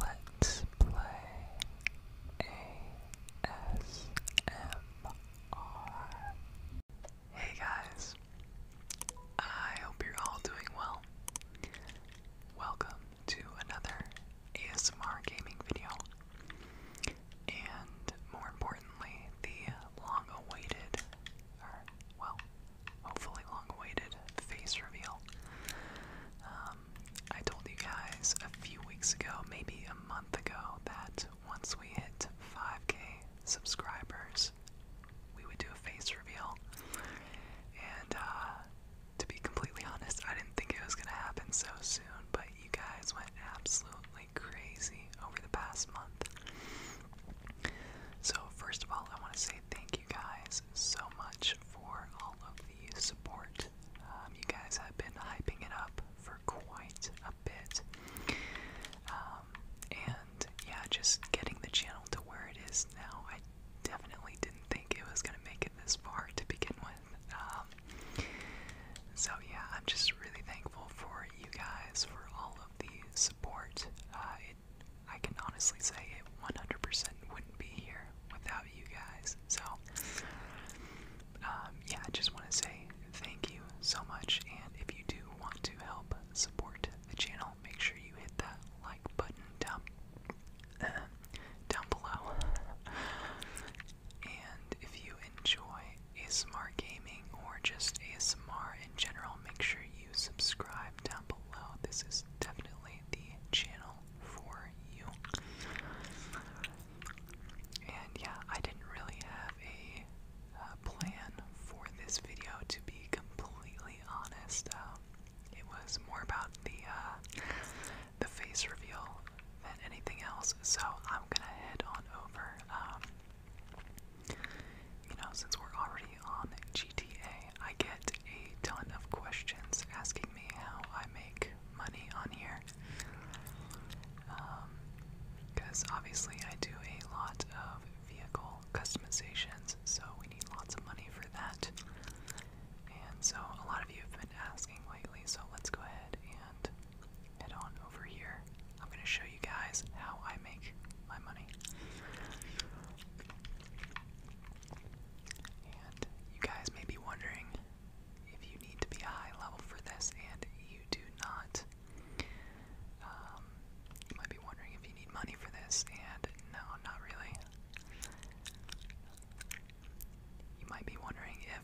Let's play ASMR. Hey guys, I hope you're all doing well. Welcome to another ASMR gaming video, and more importantly, the long awaited, or well, hopefully long-awaited face reveal. Um, I told you guys a few weeks ago, maybe a month ago, that once we hit 5k subscribers, we would do a face reveal. And uh, to be completely honest, I didn't think it was gonna happen so soon, but you guys went absolutely crazy over the past month. So, first of all, I want to say thank you guys guys so much for all of the support. Um, you guys have been hyping it up for quite a bit. Um, and yeah, just getting the channel to where it is now. I definitely didn't think it was going to make it this far to begin with. Um, so yeah, I'm just really thankful for you guys for all of the support. Uh, I can honestly say it 100% wouldn't be here without you guys. So, um, yeah, I just want to say thank you so much. And if you do want to help support the channel, make sure you hit that like button down, down below. and if you enjoy ASMR gaming or just ASMR in general, make sure you subscribe down below. This is definitely the channel for you. And yeah, I didn't really have a plan for this video, to be completely honest. Um, it was more about the uh, the face reveal than anything else, so I'm gonna head on over. Um, you know, since we're already on GTA, I get a ton of questions asking me how I make money on here. Because um, obviously I do a lot of vehicle customizations, so we need lots of money for that. And so a lot of you have been asking lately, so let's go ahead and head on over here. I'm going to show you guys how I make my money. And you guys may be wondering if you need to be a high level for this, and you do not. Um, you might be wondering if you need money for this, and no, not really. You might be wondering if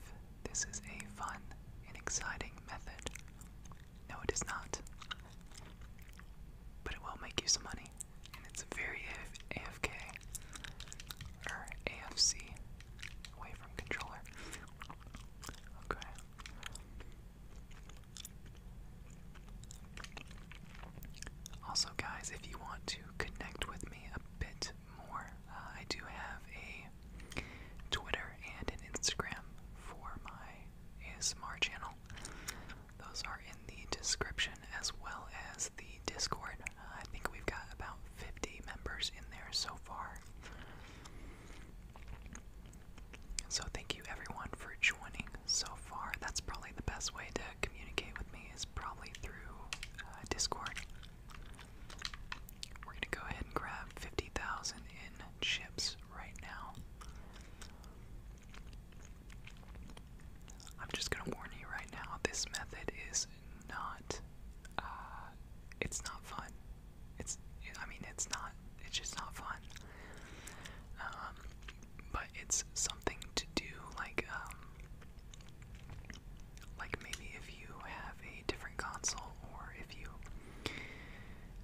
this is a fun and exciting method no, it is not. But it will make you some money. And it's very A AFK. Or AFC. Away from controller. Okay. Also, guys, if you want to connect with me a bit more, uh, I do have a Twitter and an Instagram for my ASMR channel. Those are in the description as well as the Discord. I think we've got about 50 members in there so far. So thank you everyone for joining so far. That's probably the best way to communicate with me is probably through uh, Discord. We're gonna go ahead and grab 50,000 in chips right now. I'm just gonna warn you right now, this method is not, uh, it's not fun. It's, I mean, it's not, it's just not fun. Um, but it's something to do, like, um, like maybe if you have a different console or if you,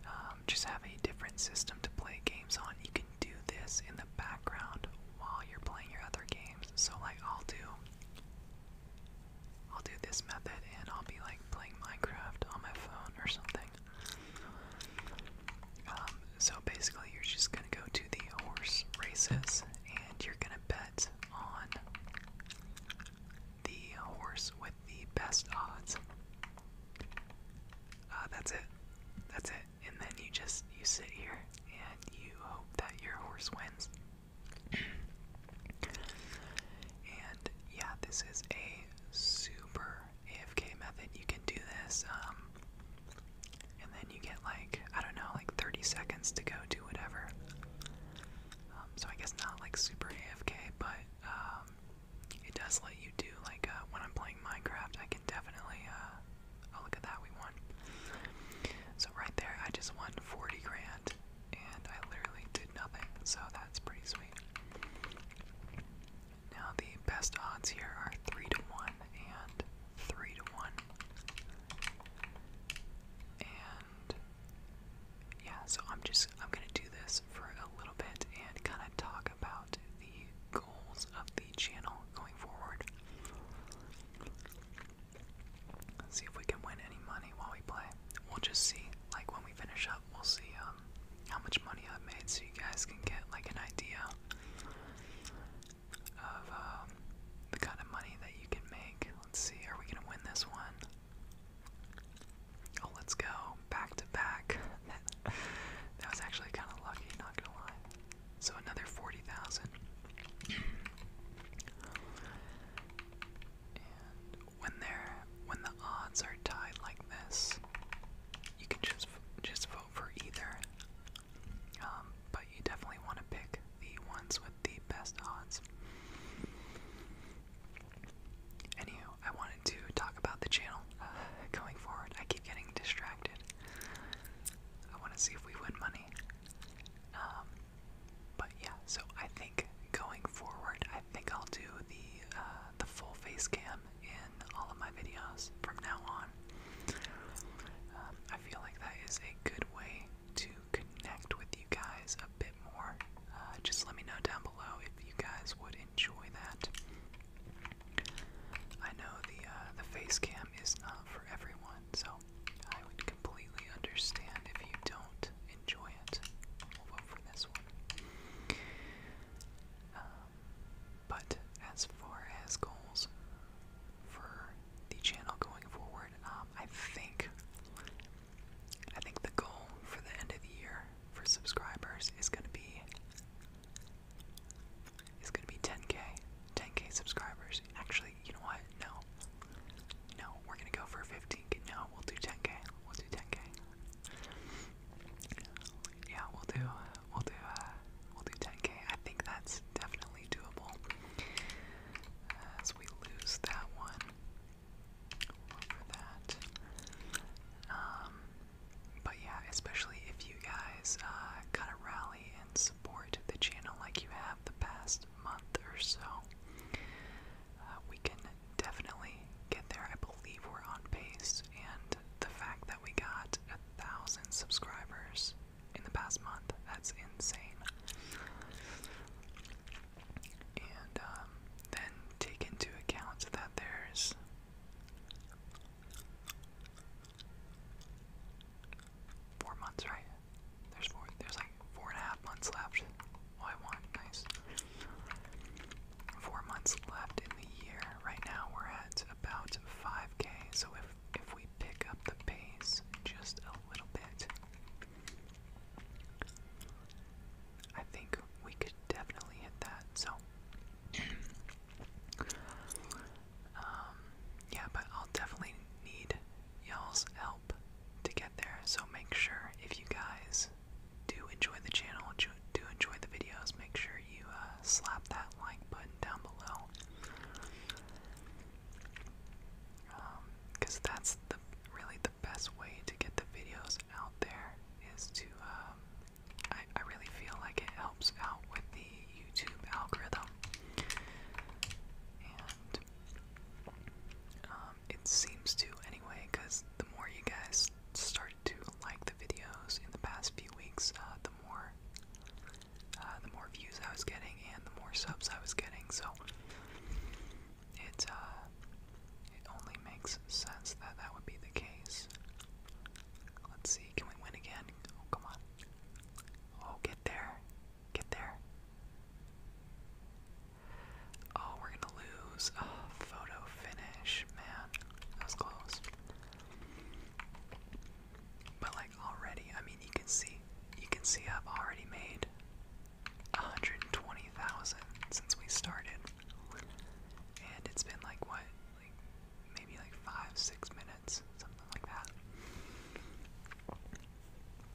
uh, um, just have a different system to play games on. You can do this in the background while you're playing your other games. So like I'll do I'll do this method and I'll be like playing Minecraft on my phone or something. Um, so basically you're just gonna go to the horse races and you're gonna bet on the horse with the best odds. Uh, that's it. That's it. And then you just you sit here and you hope that your horse wins. and yeah, this is a super AFK method. You can do this, um, and then you get like I don't know, like 30 seconds to go do whatever. Um, so I guess not like super AFK, but um, it does let you do like uh, when I'm playing Minecraft, I can definitely. Uh, oh look at that, we won. So right there, I just won 40 grand, and I literally did nothing. So that's pretty sweet. Now the best odds here are three to one and three to one, and yeah, so I'm just I'm gonna do this for a little bit and kind of talk about the goals of the channel going forward. Let's see if we can win any money while we play. We'll just see. Like when we finish up, we'll see um how much money I've made, so you guys can get like an idea of um, the kind of money that you can make. Let's see, are we gonna win this one? Oh, let's go. Back to back. that, was actually kind of lucky, not gonna lie. So another 40,000. when they're when the odds are tied like this, you can just just vote for either. Um, but you definitely want to pick the ones with the best odds. Anywho, I wanted to talk about the channel uh, going forward. I keep getting distracted. I want to see if we win money. Um, but yeah, so I think going forward, I think I'll do the uh, the full face cam in all of my videos from now on. Um, I feel like that is a good way to connect with you guys a bit more uh, just let me know down below if you guys would enjoy that. I know the uh, the face cam is not for everyone, so I would completely understand if you don't enjoy it. We'll vote for this one. Um, but as far as goals for the channel going forward, um, I think I think the goal for the end of the year for subscribers is gonna be is gonna be 10k, 10k subscribers. Actually, you know what? No, no, we're gonna go for 15k. No, we'll do 10k. We'll do 10k. Yeah, we'll do, we'll do, uh, we'll do 10k. I think that's definitely doable. As we lose that one, um, but yeah, especially if you guys kind uh, of rally and support the channel like you have the past month or so, uh, we can definitely get there. I believe we're on pace, and the fact that we got a thousand subscribers in the past month—that's insane and um, then take into account that there's four months, right? There's four. There's like four and a half months left. Oh, I want nice. Four months left in the year. Right now we're at about 5k. So if if we pick up the pace just a little bit, I think we could definitely hit that. So, um, yeah, but I'll definitely need y'all's help to get there. So make sure if you guys do enjoy the channel, do enjoy the videos, make sure you uh, slap that like button down below. Um, because that's the really the best way to get the videos out there is to um, I, I really feel like it helps out with the YouTube algorithm and um, it seems to anyway because the more you guys start to like the videos in the past few weeks uh, the more uh, the more views I was getting and the more subs I was getting so it, uh, it only makes sense that that would be the case. Let's see, can we win again? Oh, come on. Oh, get there. Get there. Oh, we're gonna lose. Oh, photo finish. Man, that was close. But like already, I mean, you can see, you can see I've already made 120,000 since we started. And it's been like what? Like maybe like 5 6 minutes, something like that.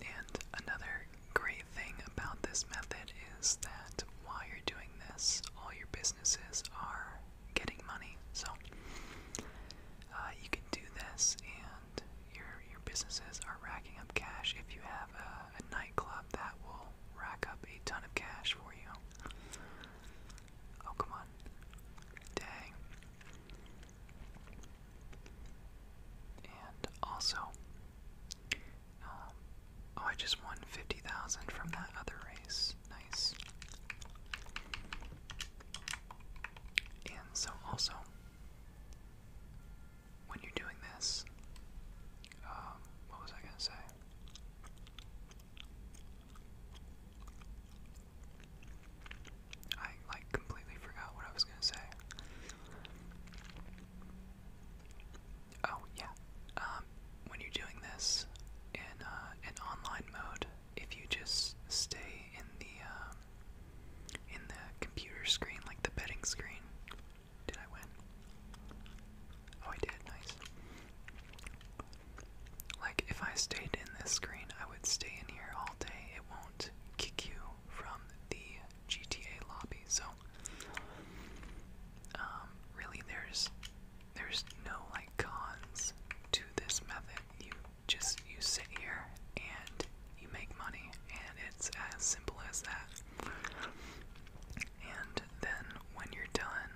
And another great thing about this method is that while you're doing this, all your businesses are getting money. So uh, you can do this and and your your businesses are racking up cash. If you have a, a nightclub, that will rack up a ton of cash for you. Oh come on, dang! And also, um, oh, I just won fifty thousand from that other race. Nice. And so also, when you're doing this, um, what was I gonna say? I like completely forgot what I was gonna say. Oh yeah, um, when you're doing this in an uh, online mode, if you just stay in the um, in the computer screen, like the betting screen. Did I win? Oh, I did. Nice. Like, if I stayed in this screen, I would stay in here all day. It won't kick you from the GTA lobby. So, um, really, there's there's no like cons to this method. You just you sit here and you make money, and it's as simple as that. And then when you're done,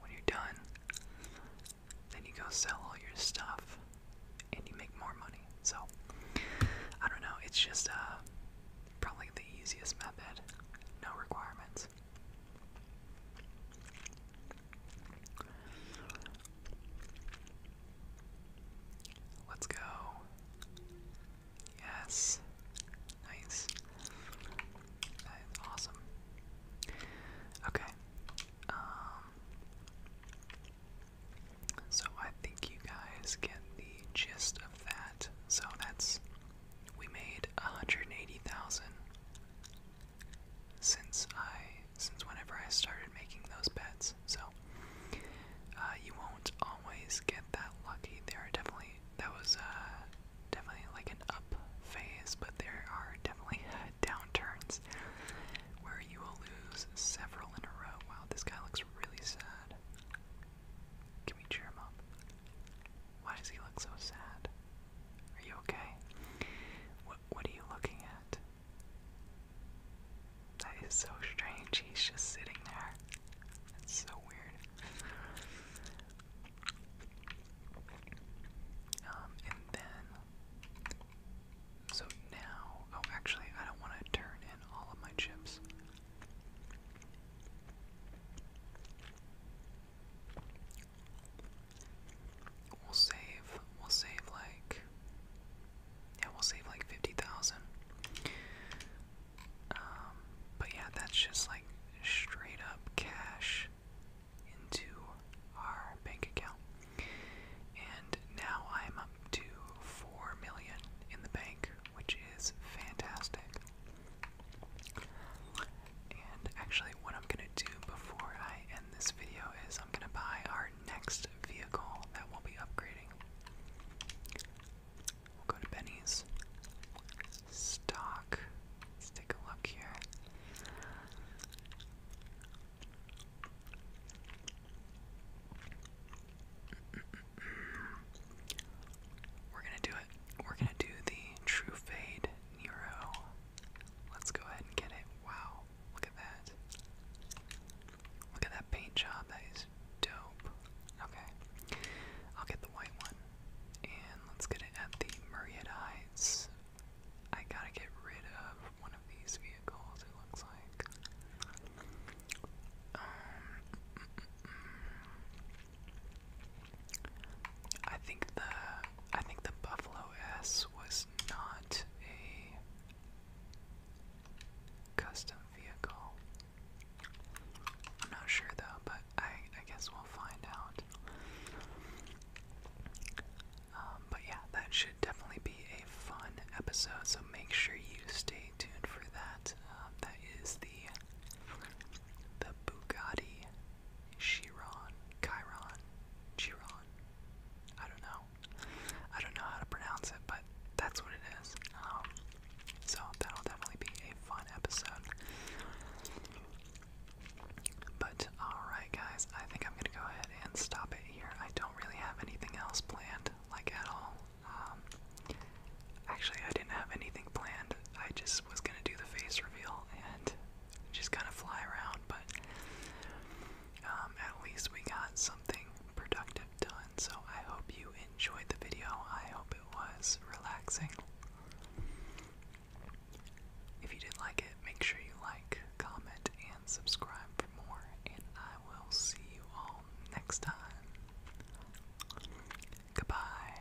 when you're done, then you go sell all your stuff and you make more money. So, I don't know, it's just uh, probably the easiest method, no requirements. Let's go. Yes. Nice. awesome. Okay. Um, so I think you guys get the gist of that. So that's we made 180,000 since I since whenever I started making those bets. So uh, you won't always get that lucky. There are definitely that was uh, definitely like an up phase, but there are definitely uh, downturns where you will lose several in a row. Wow, this guy looks really sad. Can we cheer him up? Why does he look so sad? Are you okay? What What are you looking at? That is so strange. He's just sitting there. That's so weird. Um, and then, so now, oh, actually, I don't want to turn in all of my chips. We'll save, we'll save like, yeah, we'll save like 50,000. Um, but yeah, that's just like straight up cash into our bank account. And now I'm up to 4 million in the bank, which is fantastic. And actually, what I'm gonna do before I end this video is I'm gonna buy our next vehicle that we'll be upgrading. We'll go to Benny's stock. Let's take a look here. We're gonna do it. We're gonna do the True Fade Nero Let's go ahead and get it. Wow, look at that. Look at that paint job, that is dope. Okay, I'll get the white one. And let's get it at the Murrieta I gotta get rid of one of these vehicles, it looks like. Um, mm, mm, mm. I think the I think the Buffalo S was not a custom vehicle. I'm not sure though, but I I guess we'll find out. Um, but yeah, that should definitely be a fun episode. So make sure you stay tuned for that. Um, that is the the Bugatti Chiron, Chiron, Chiron. I don't know. I don't know how to pronounce it, but that's what it is. Um, so that'll definitely be a fun episode. But alright, guys, I think I'm gonna go ahead and stop it here. I don't really have anything else planned, like at all. Um, actually, I didn't have anything planned. I just was gonna do the face reveal, and just kind of fly around, but um, at least we got something productive done. So I hope you enjoyed the video. I hope it was relaxing. If you did like it, make sure you like, comment, and subscribe for more. And I will see you all next time. Goodbye.